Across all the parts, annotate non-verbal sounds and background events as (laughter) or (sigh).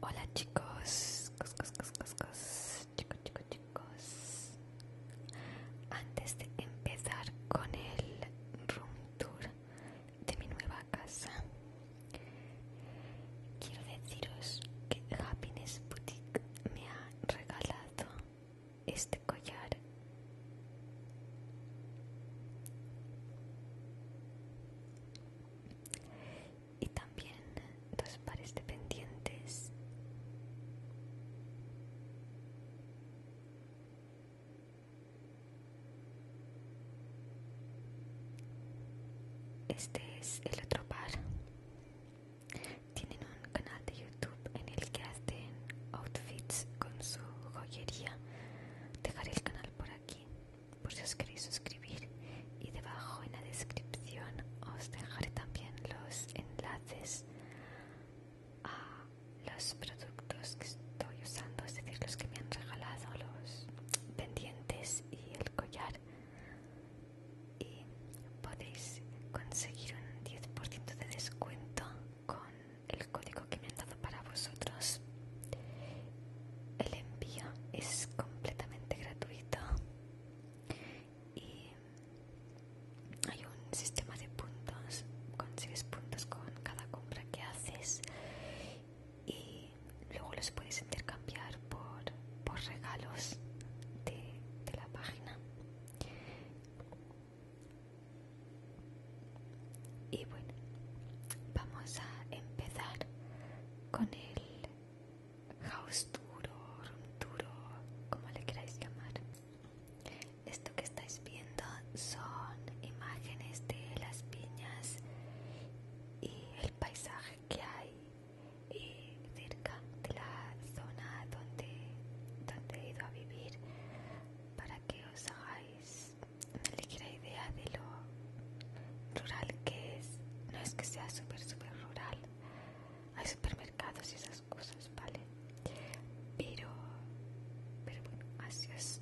Hola chicos, cos, chicos, chicos, chicos. Antes de empezar con el room tour de mi nueva casa, quiero deciros que Happiness Boutique me ha regalado este collar y también dos pues, pares de pendientes este es el otro par tienen un canal de youtube en el que hacen outfits con su joyería Dejaré el canal por aquí, por si os queréis suscribir. Y debajo en la descripción os dejaré también los enlaces a los productos que estoy usando, es decir, los que me han regalado, los pendientes y el collar. Y podéis conseguir un 10% de descuento con el código que me han dado para vosotros. El envío es completamente gratuito y hay un sistema de puntos, consigues puntos con cada compra que haces y luego los puedes intercambiar por, regalos de, de la página. Y bueno, vamos a empezar con el house duro como le queráis llamar. Esto que estáis viendo son imágenes de las piñas y el paisaje que hay eh, cerca de la zona donde, donde he ido a vivir para que os hagáis una ligera idea de lo rural que es. No es que sea súper, súper rural. Hay supermercados y esas cosas, ¿vale? Pero, pero bueno, así os,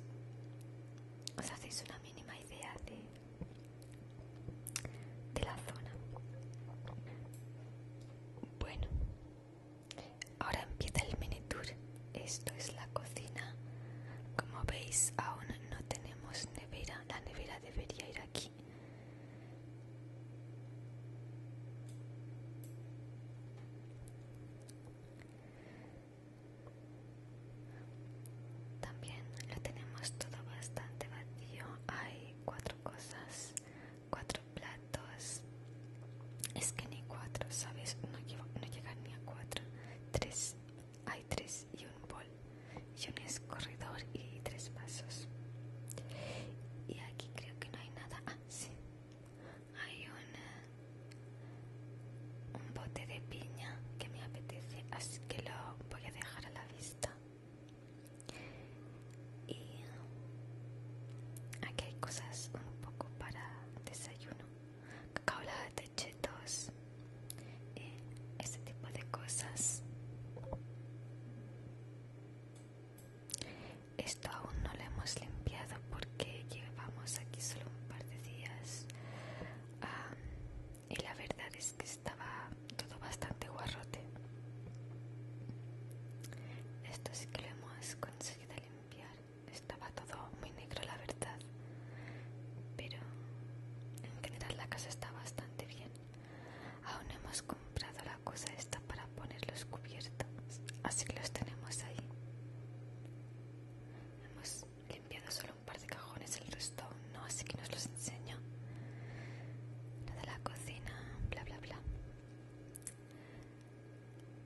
os hacéis una mínima idea de, de la zona. Bueno, Ahora empieza el mini tour. Esto es la cocina. Como veis, aún no tenemos nevera. La nevera debería ir aquí. También lo tenemos todo bastante vacío. Hay cuatro cosas, cuatro platos. Es que ni cuatro, ¿sabes? No, no llegan ni a cuatro. Tres. Hay tres y un bol. Y un escorredor y tres pasos. Y aquí creo que no hay nada. Ah, sí. Hay un, un bote de piña que me apetece, así que lo voy a dejar a la vista. Y aquí hay cosas un poco para desayuno, cacao latte, chetos, eh, ese tipo de cosas. Esto aún no lo hemos limpiado porque llevamos aquí solo un par de días y la verdad es que estaba todo bastante guarrote. Esto sí que lo hemos conseguido limpiar. Estaba todo muy negro, la verdad. Pero en general la casa está bastante bien. Aún hemos comprado la cosa esta para poner los cubiertos. Así que los tenemos ahí. Hemos limpiado solo un par de cajones, el resto no, así que nos los enseño. La de la cocina, bla, bla, bla.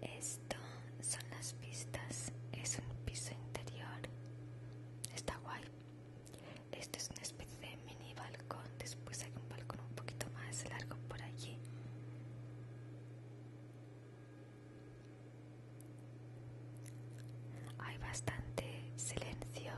Esto son las pistas. Es un piso interior. Está guay. Esto es una especie de mini balcón. Después hay un balcón un poquito más largo por allí. Hay bastante silencio.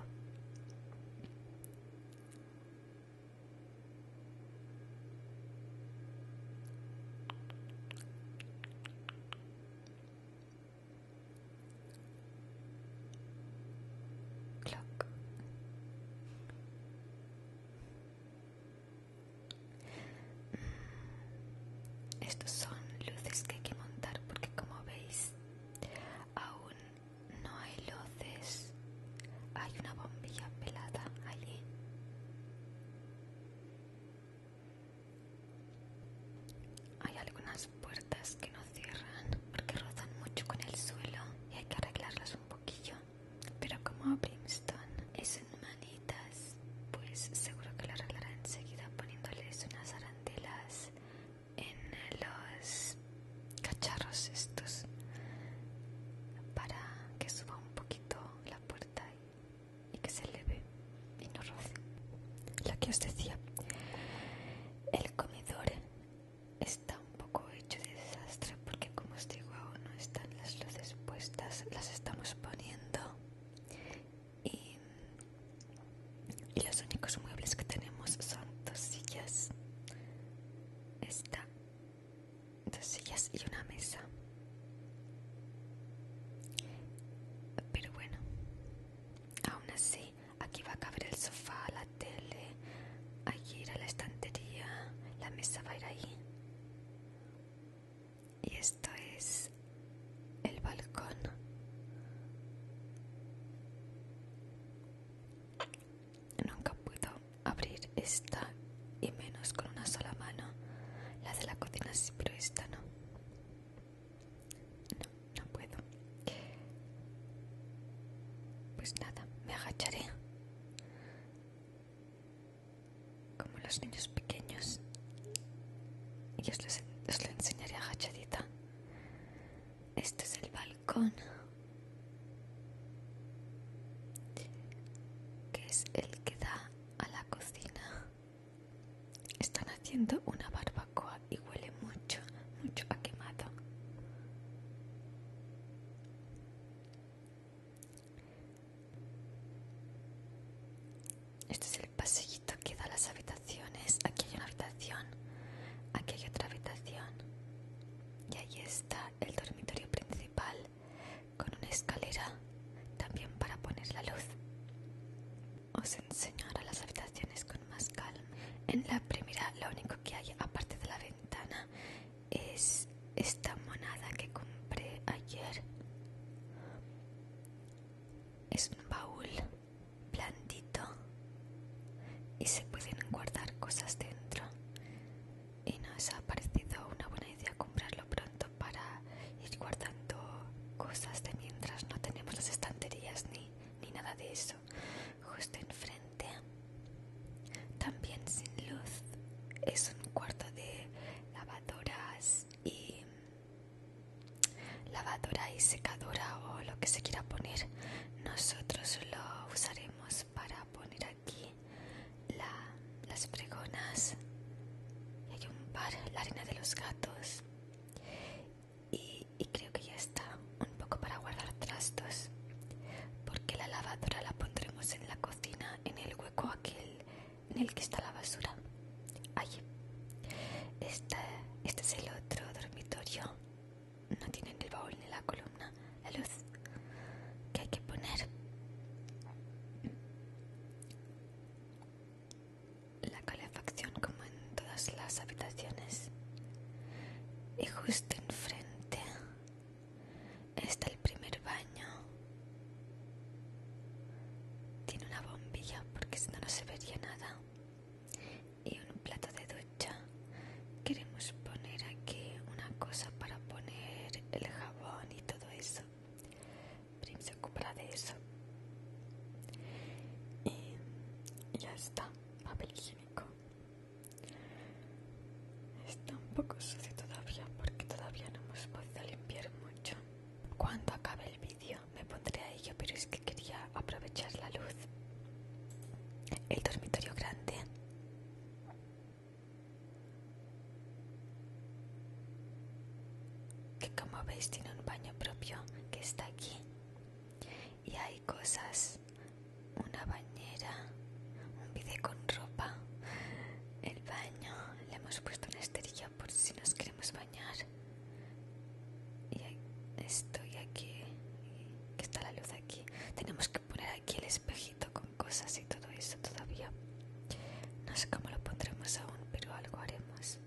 Clock. Estos son luces que hay que montar porque como veis aún no hay luz hay una bombilla pelada allí. Hay algunas puertas que no cierran porque rozan mucho con el suelo y hay que arreglarlas un poquillo. Pero como Brimstone es en manitas, pues seguro que lo arreglará enseguida poniéndoles unas arandelas en los cacharros estos para que suba un poquito la puerta y, que se eleve y no roce lo que os decía el comedor está un poco hecho de desastre porque como os digo no están las luces puestas las estamos poniendo y, los únicos muebles que tenemos son dos sillas esta dos sillas y una mesa. Pero bueno, aún así, aquí va a caber el sofá, la tele, ir a la estantería, la mesa va a ir ahí. Y esto es el balcón. Nunca puedo abrir esta y menos con una sola mano. La de la cocina sí, esta no. No, no puedo. Pues nada, me agacharé. Como los niños pequeños. Y os lo enseñaré agachadita. Este es el balcón, que es el que da a la cocina. Están haciendo una barbacoa y huele mucho, mucho a quemado. Este es el pasillito que da a las habitaciones. Aquí hay una habitación. Aquí hay otra habitación y ahí está el dormitorio principal con una escalera también para poner la luz. Os enseño ahora las habitaciones con más calma. En la primera lo único que hay aparte de la ventana es esta monada que compré ayer. Es un baúl blandito y se pueden guardar cosas dentro y nos ha parecido una buena idea comprarlo pronto para ir guardando cosas de mientras no tenemos las estanterías ni, ni nada de eso justo enfrente también sin luz es un cuarto de lavadoras y lavadora y secadora o lo que se quiera poner nosotros lo usaremos para poner aquí las fregonas hay un par la arena de los gatos y, creo que ya está un poco para guardar trastos porque la lavadora la pondremos en la cocina en el hueco aquel en el que está la basura allí este es el otro dormitorio no tienen el baúl ni la columna, la luz que hay que poner. La calefacción como en todas las habitaciones. Y justo enfrente está el primer baño. Tiene una bombilla porque si no no se vería nada y en un plato de ducha. Queremos poner aquí una cosa para poner el jabón y todo eso. Prim se ocupará de eso. Y ya está, papel higiénico. Está un poco sucio todavía porque todavía no hemos podido limpiar mucho. Cuando acabe el vídeo me pondré pero es que quería aprovechar la luz. El dormitorio grande. Que como veis tiene un baño propio que está aquí. Y hay cosas. Una bañera. Un vide con ropa. El baño. Le hemos puesto una esterilla por si nos queremos bañar. Y estoy aquí, que está la luz aquí. Tenemos que poner aquí el espejito con cosas y todo eso todavía. No sé cómo lo pondremos aún, pero algo haremos.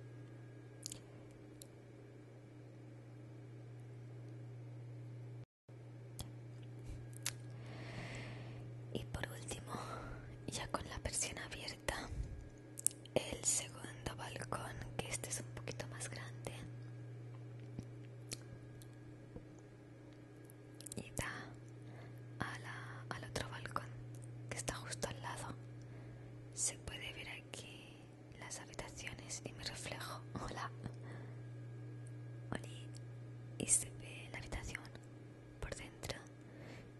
Y por último, ya con la persiana abierta, el segundo balcón, que este es un poquito más grande y da al otro balcón que está justo al lado. Se puede ver aquí las habitaciones y mi reflejo. (laughs) Hola. Y se ve la habitación por dentro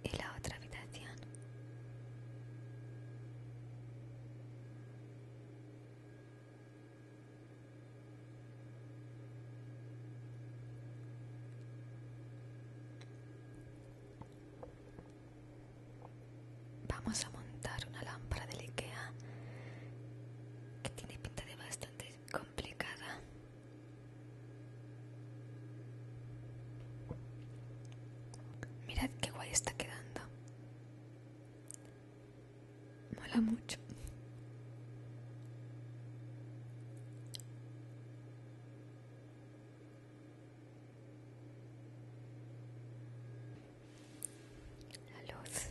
y la otra habitación. Vamos a montar una lámpara del IKEA que tiene pinta de bastante complicada. Mirad qué guay está quedando. Mola mucho. La luz.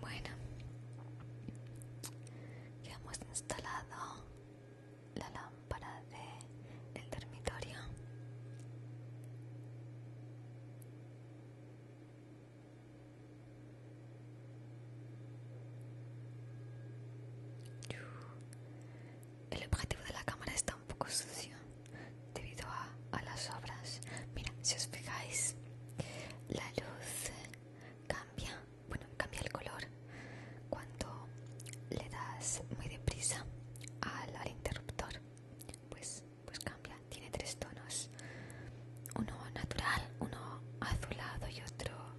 Bueno, ya hemos instalado la lámpara del el dormitorio. El objetivo de la cámara está un poco sucio debido a, a las obras. Mira, si os fijáis, la luz cambia bueno, cambia el color cuando le das muy deprisa al, interruptor. Pues, pues cambia, tiene tres tonos, uno natural, uno azulado y otro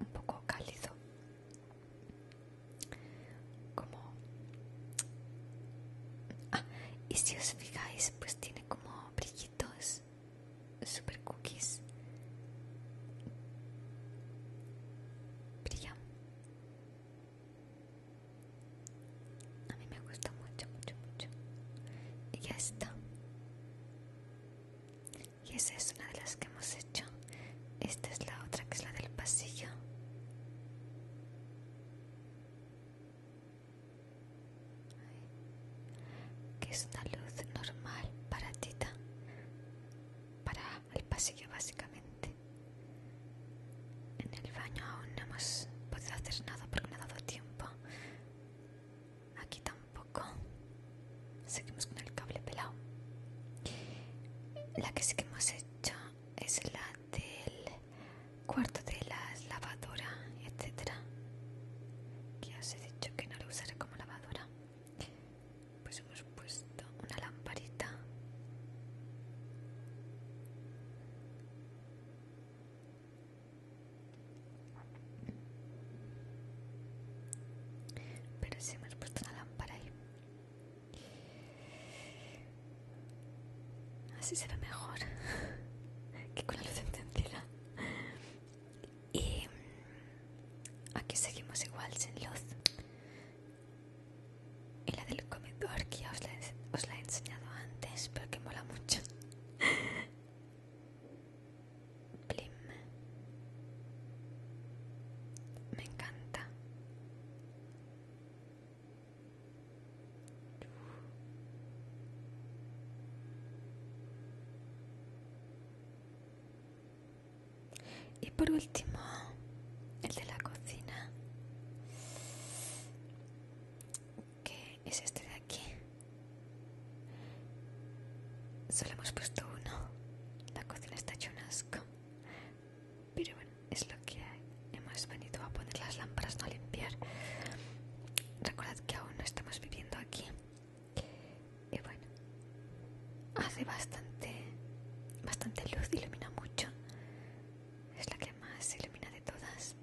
un poco cálido. Como... Ah, y si os fijáis, pues tiene como brillo dos super cookies. brillan A mí me gusta mucho, mucho, mucho. Y ya está. Y esa es una de las que hemos hecho. Esta es la otra que es la del pasillo que es una luz normal para Tita, para el pasillo básicamente. En el baño aún no hemos podido hacer nada porque no ha dado tiempo. Aquí tampoco. Seguimos con el cable pelado. La que sí que hemos hecho es la del cuarto de la lavadora, etcétera. Que dicho que no lo usaré como lavadora. Pues hemos puesto una lamparita. Pero si sí hemos puesto una lámpara ahí. Así se ve mejor (laughs) que con la luz encendida. Y mm, aquí seguimos igual sin luz. Y la del comedor que ya os la, he enseñado antes, pero que mola mucho. (laughs) Blim. Me encanta. Y por último, el de la cocina, que es este de aquí. Solo hemos puesto uno. La cocina está hecha un asco. Pero bueno, es lo que Hemos venido a poner las lámparas, no a limpiar. Recordad que aún no estamos viviendo aquí. Y bueno, hace bastante, bastante luz, ilumina mucho. Es la que más ilumina de todas.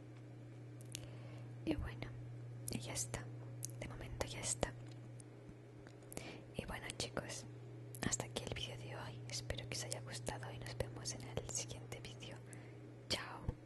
Y bueno, y ya está. De momento ya está. Y bueno chicos, hasta aquí el vídeo de hoy. Espero que os haya gustado y nos vemos en el siguiente vídeo. Chao.